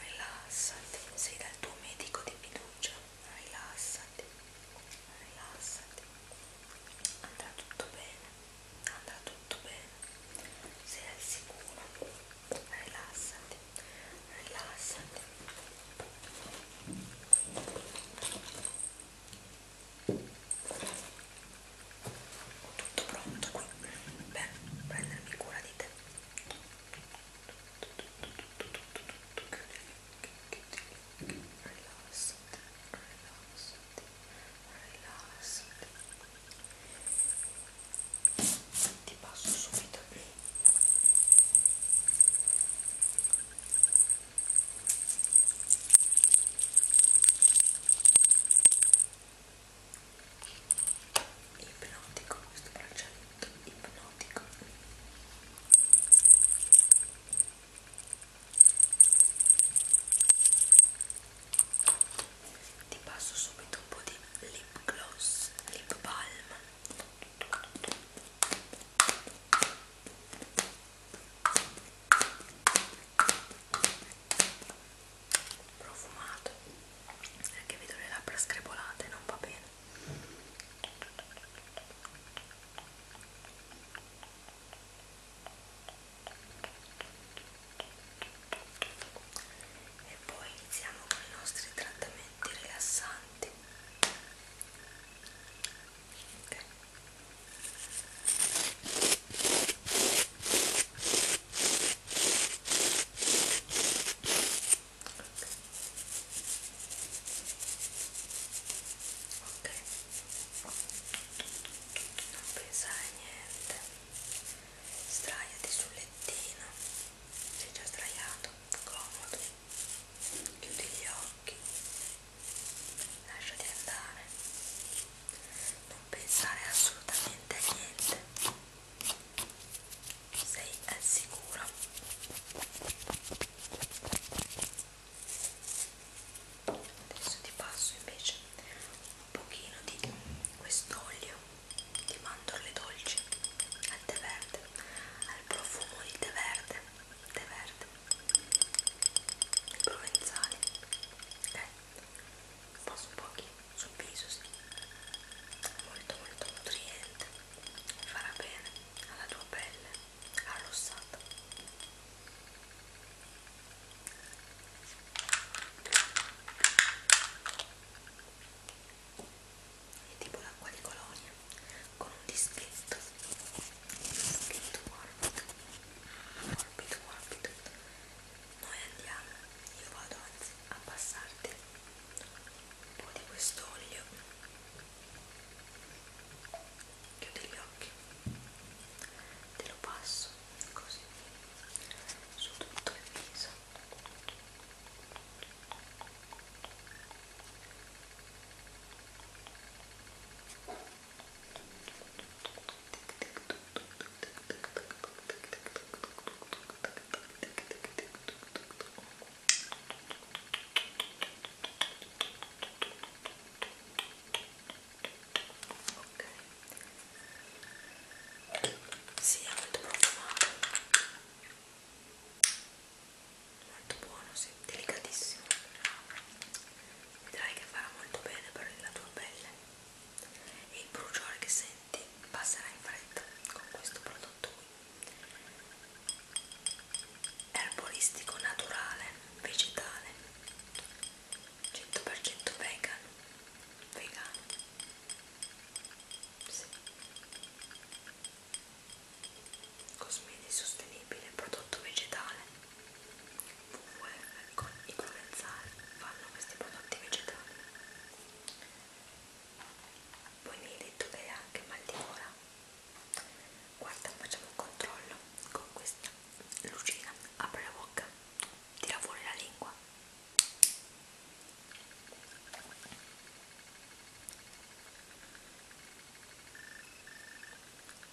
rilassati, sei dal tuo medico di fiducia rilassati, rilassati, andrà tutto bene, andrà tutto bene, sei al sicuro, rilassati, rilassati. Tutto pronto qui per prendermi cura di te. Chiudi gli rilassati, rilassati, rilassati. Ti passo subito ipnotico questo braccialetto ipnotico ti passo subito un po' di lip gloss, lip balm profumato anche vedo le labbra screpolate non va bene e poi iniziamo con i nostri trattamenti rilassanti okay ok non pensare a niente sdraiati sul lettino sei già sdraiato comodo chiudi gli occhi lasciati andare non pensare assolutamente a niente sei al sicuro adesso ti passo invece un pochino di quest'olio di mandorle dolci al tè verde al profumo di tè verde tè verde provenzale ok passo un pochino sul viso sì. molto molto nutriente farà bene alla tua pelle arrossata è tipo l'acqua di colonia con un dischetto un dischetto morbido morbido morbido noi andiamo io vado anzi a passarti un po' di questo olio chiudi gli occhi te lo passo così su tutto il viso ok si sì, è molto profumato molto buono sì, delicatissimo vedrai che farà molto bene per la tua pelle e il bruciore che senti passerà in fretta con questo prodotto qui erboristico naturale, vegetale, 100% vegan, vegano, sì. cosmesi sostenibile, prodotto vegetale, WWF con i provenzali fanno questi prodotti vegetali. Poi mi hai detto che hai anche mal di gola guarda facciamo un controllo con questa lucina apri la bocca tira fuori la lingua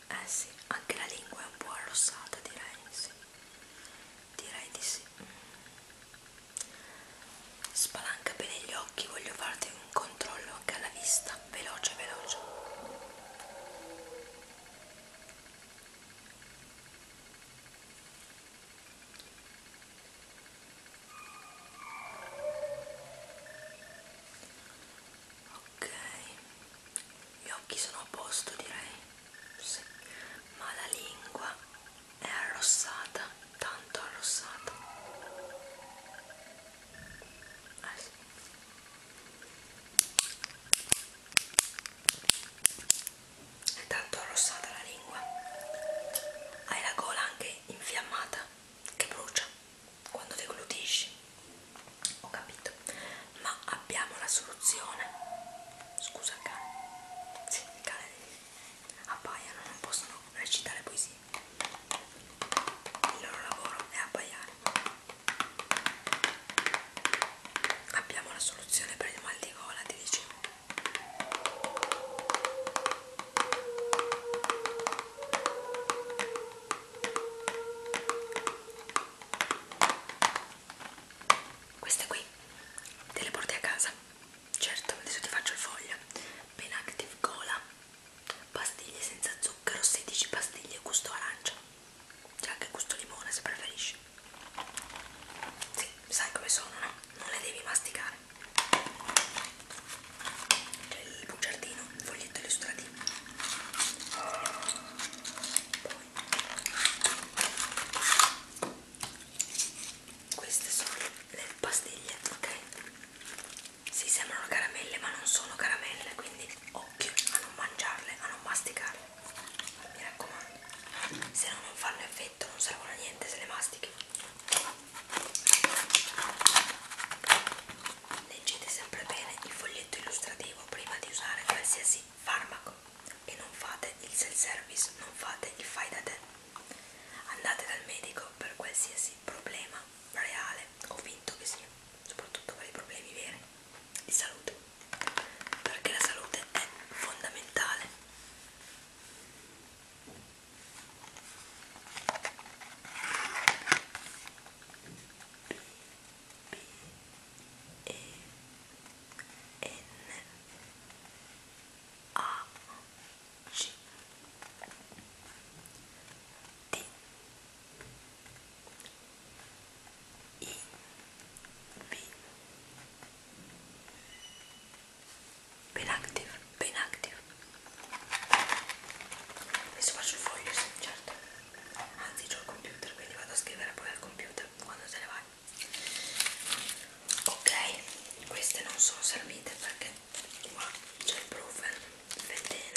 eh sì anche la lingua è un po' arrossata direi sì direi di sì mm. spalanca bene gli occhi voglio farti un controllo anche alla vista, veloce, veloce. Ok, gli occhi sono a posto direi, sì. ma la lingua è arrossata, tanto arrossata. Ah, sì. È tanto arrossata la lingua. Hai la gola anche infiammata che brucia quando deglutisci. Ho capito. Ma abbiamo la soluzione. Scusa, cane. Sì, i cani eh. abbaiano, non possono recitare poesie. Il loro lavoro è abbaiare. Abbiamo la soluzione per il mal di gola, ti dicevo. Queste qui te le porti a casa. Certo, adesso ti faccio il foglio. Pen Active Gola pastiglie senza zucchero 16 pastiglie gusto arancia c'è anche gusto limone se preferisci sì, sai come sono no? non le devi masticare c'è il bugiardino il foglietto illustrativo poi queste sono le pastiglie ok si sì, sembrano caramelle ma non sono caramelle quindi occhio a non mangiarle a non masticarle mi raccomando se no non fanno effetto non servono a niente se le mastichi leggete sempre bene il foglietto illustrativo prima di usare qualsiasi farmaco e non fate il self service non fate il fai da te andate dal medico per qualsiasi problema reale, convinto che sia, soprattutto per i problemi veri di salute, perché la salute è fondamentale. B, B, E, N, A, C, D, i V Penactive, penactive. Adesso faccio il foglio, sì, certo. Anzi, c'ho il computer, quindi vado a scrivere poi al computer quando te ne vai. Ok, queste non sono servite perché qua c'è il proven bene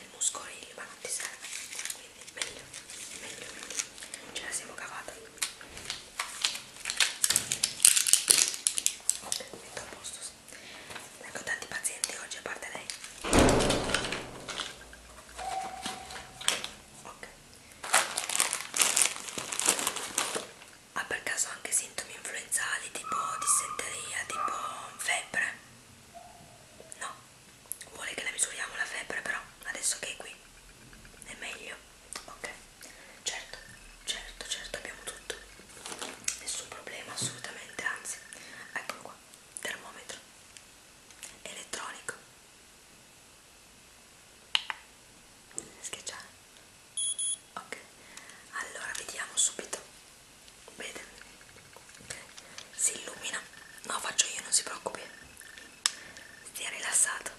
il muscolino ma non ti serve quindi meglio meglio ce la siamo cavata ok metto a posto sì. ecco tanti pazienti oggi a parte lei ok ha per caso anche sintomi influenzali tipo dissenteria tipo febbre no vuole che la misuriamo la febbre però adesso che è qui è meglio ok certo certo certo abbiamo tutto nessun problema assolutamente anzi eccolo qua termometro elettronico schiacciare ok allora vediamo subito vede si illumina no faccio io non si preoccupi stia rilassato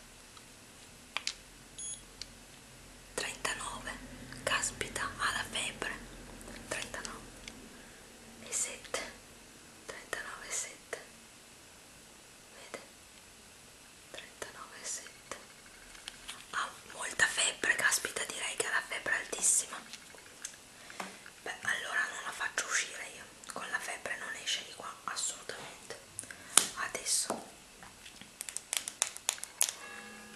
39 caspita ha la febbre 39 e 7 39 e 7 vede 39 e 7 ha molta febbre caspita direi che ha la febbre altissima beh allora non la faccio uscire io con la febbre non esce di qua assolutamente adesso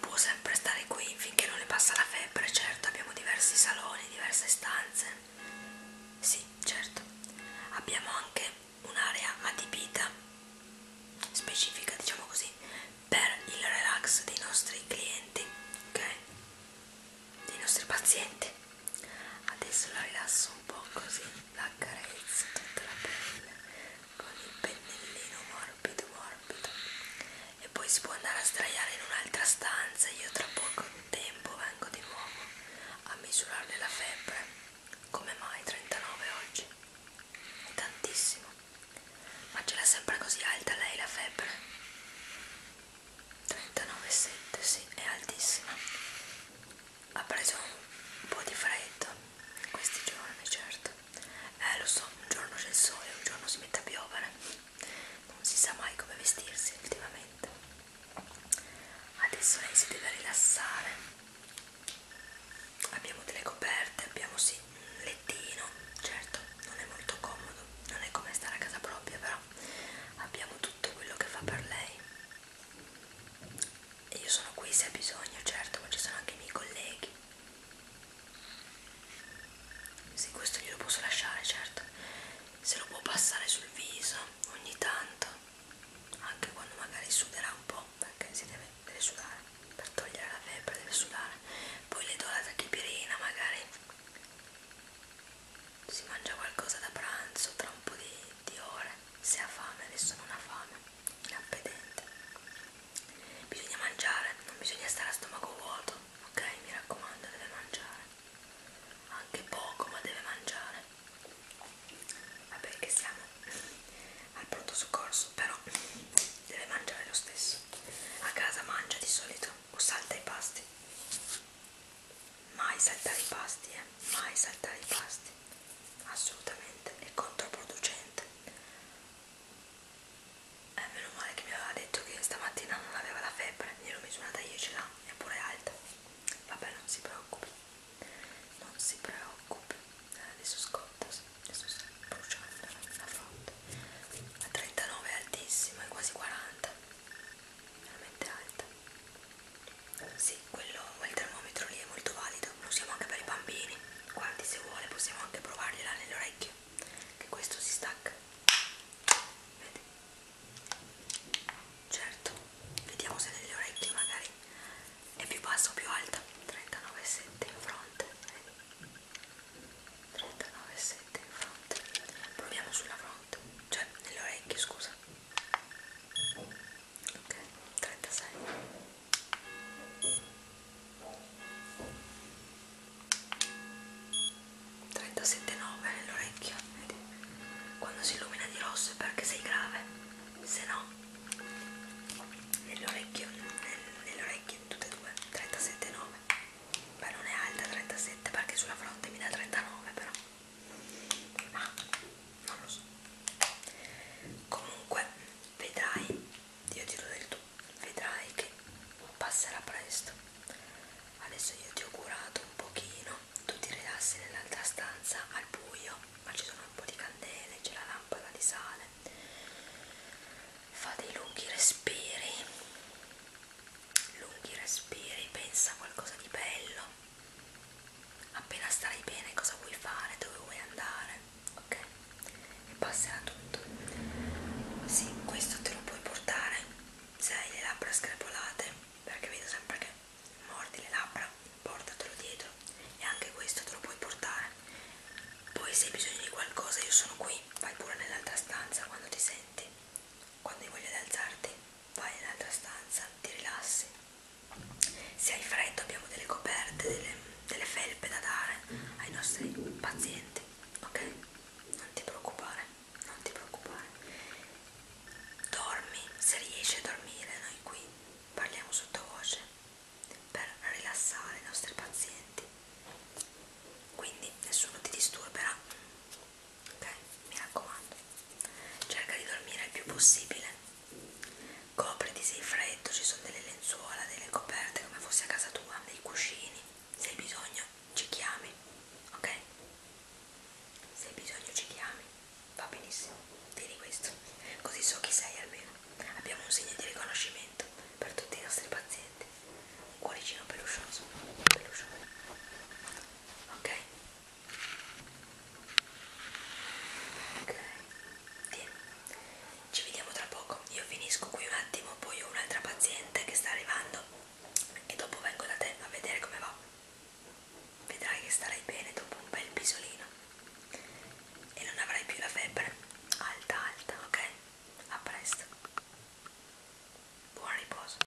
può sempre stare qui finché non le passa la febbre certo abbiamo diversi saloni diverse stanze sì certo abbiamo anche un'area adibita specifica diciamo così per il relax dei nostri clienti ok dei nostri pazienti adesso la rilasso un po' così la carezzo tutta la pelle con il pennellino morbido morbido e poi si può andare a sdraiare in un'altra stanza io tra poco tempo vengo di nuovo a misurarle la febbre come mai 39 oggi è tantissimo ma ce l'ha sempre così alta lei la febbre 39,7 sì, è altissima. Ha preso un po' di freddo questi giorni, certo. Eh, lo so, un giorno c'è il sole, un giorno si mette a piovere. Non si sa mai come vestirsi ultimamente. Adesso lei si deve rilassare. Abbiamo delle coperte, abbiamo sì un lettino, certo, non è molto comodo, non è come stare a casa propria, però abbiamo tutto quello che fa per lei e io sono qui se ha bisogno certo ma ci sono anche i miei colleghi sì questo glielo posso lasciare certo se lo può passare sul viso ogni tanto anche quando magari suderà un po' perché si deve, deve sudare per togliere la febbre deve sudare poi le do la tachipirina magari si mangia qualcosa da pranzo tra un po' di, di ore se ha fame, adesso non ha fame, inappetente bisogna mangiare, non bisogna stare a stomaco vuoto ok? mi raccomando deve mangiare anche poco ma deve mangiare vabbè che siamo al pronto soccorso però deve mangiare lo stesso a casa mangia di solito o salta i pasti mai saltare i pasti, eh? mai saltare i pasti, assolutamente, è controproducente. Eh, meno male che mi aveva detto che stamattina non aveva la febbre, gliel'ho misurata io, ce l'ha, è pure alta. Vabbè, non si preoccupi, non si preoccupi, eh, adesso scotta, adesso sta bruciando la fronte. A 39 è altissimo, è quasi 40 veramente alta sì, quello, quel termometro lì è molto valido lo usiamo anche per i bambini quanti se vuole possiamo anche provarli là nell'orecchio che questo si stacca vedi? certo vediamo se nelle orecchie magari è più bassa o più alta 39,7 in fronte vedi? 39,7 direttamente in fronte proviamo sulla fronte cioè nelle orecchie scusa ok 36 37,9 nell'orecchio vedi quando si illumina di rosso è perché sei grave se no nell'orecchio nel, nelle orecchie tutte e due 37,9 beh non è alta 37 perché sulla fronte mi dà 39 però ah, non lo so comunque vedrai io ti do del tu vedrai che passerà presto adesso io ti ho curato un pochino tu ti rilassi nell'altra stanza al buio ma ci sono un po' di candele c'è la lampada di sale fa dei lunghi respiri lunghi respiri, pensa a qualcosa di bello, appena starai bene cosa vuoi fare, dove vuoi andare, ok? E passerà tutto. Sì, questo te lo puoi portare se hai le labbra screpolate, perché vedo sempre che mordi le labbra, portatelo dietro e anche questo te lo puoi portare. Poi se hai bisogno di qualcosa io sono qui, vai pure nell'altra stanza quando ti senti, quando hai voglia di alzarti vai in un'altra stanza, ti rilassi. Se hai freddo abbiamo delle coperte, delle, delle felpe da dare ai nostri pazienti, ok? Non ti preoccupare, non ti preoccupare. Dormi, se riesci a dormire, noi qui parliamo sottovoce per rilassare i nostri pazienti. Quindi nessuno ti disturberà ok? Mi raccomando, cerca di dormire il più possibile, copriti se hai freddo, ci sono delle lenzuola, delle coperte come fosse a casa tua, dei cuscini, se hai bisogno ci chiami, ok? Se hai bisogno ci chiami, va benissimo, tieni questo, così so chi sei almeno. Abbiamo un segno di riconoscimento per tutti i nostri pazienti, un cuoricino peluscioso, peluscioso ok ok Tieni. ci vediamo tra poco io finisco qui un attimo poi ho un'altra paziente che sta arrivando e dopo vengo da te a vedere come va vedrai che starai bene dopo un bel pisolino e non avrai più la febbre alta alta ok a presto buon riposo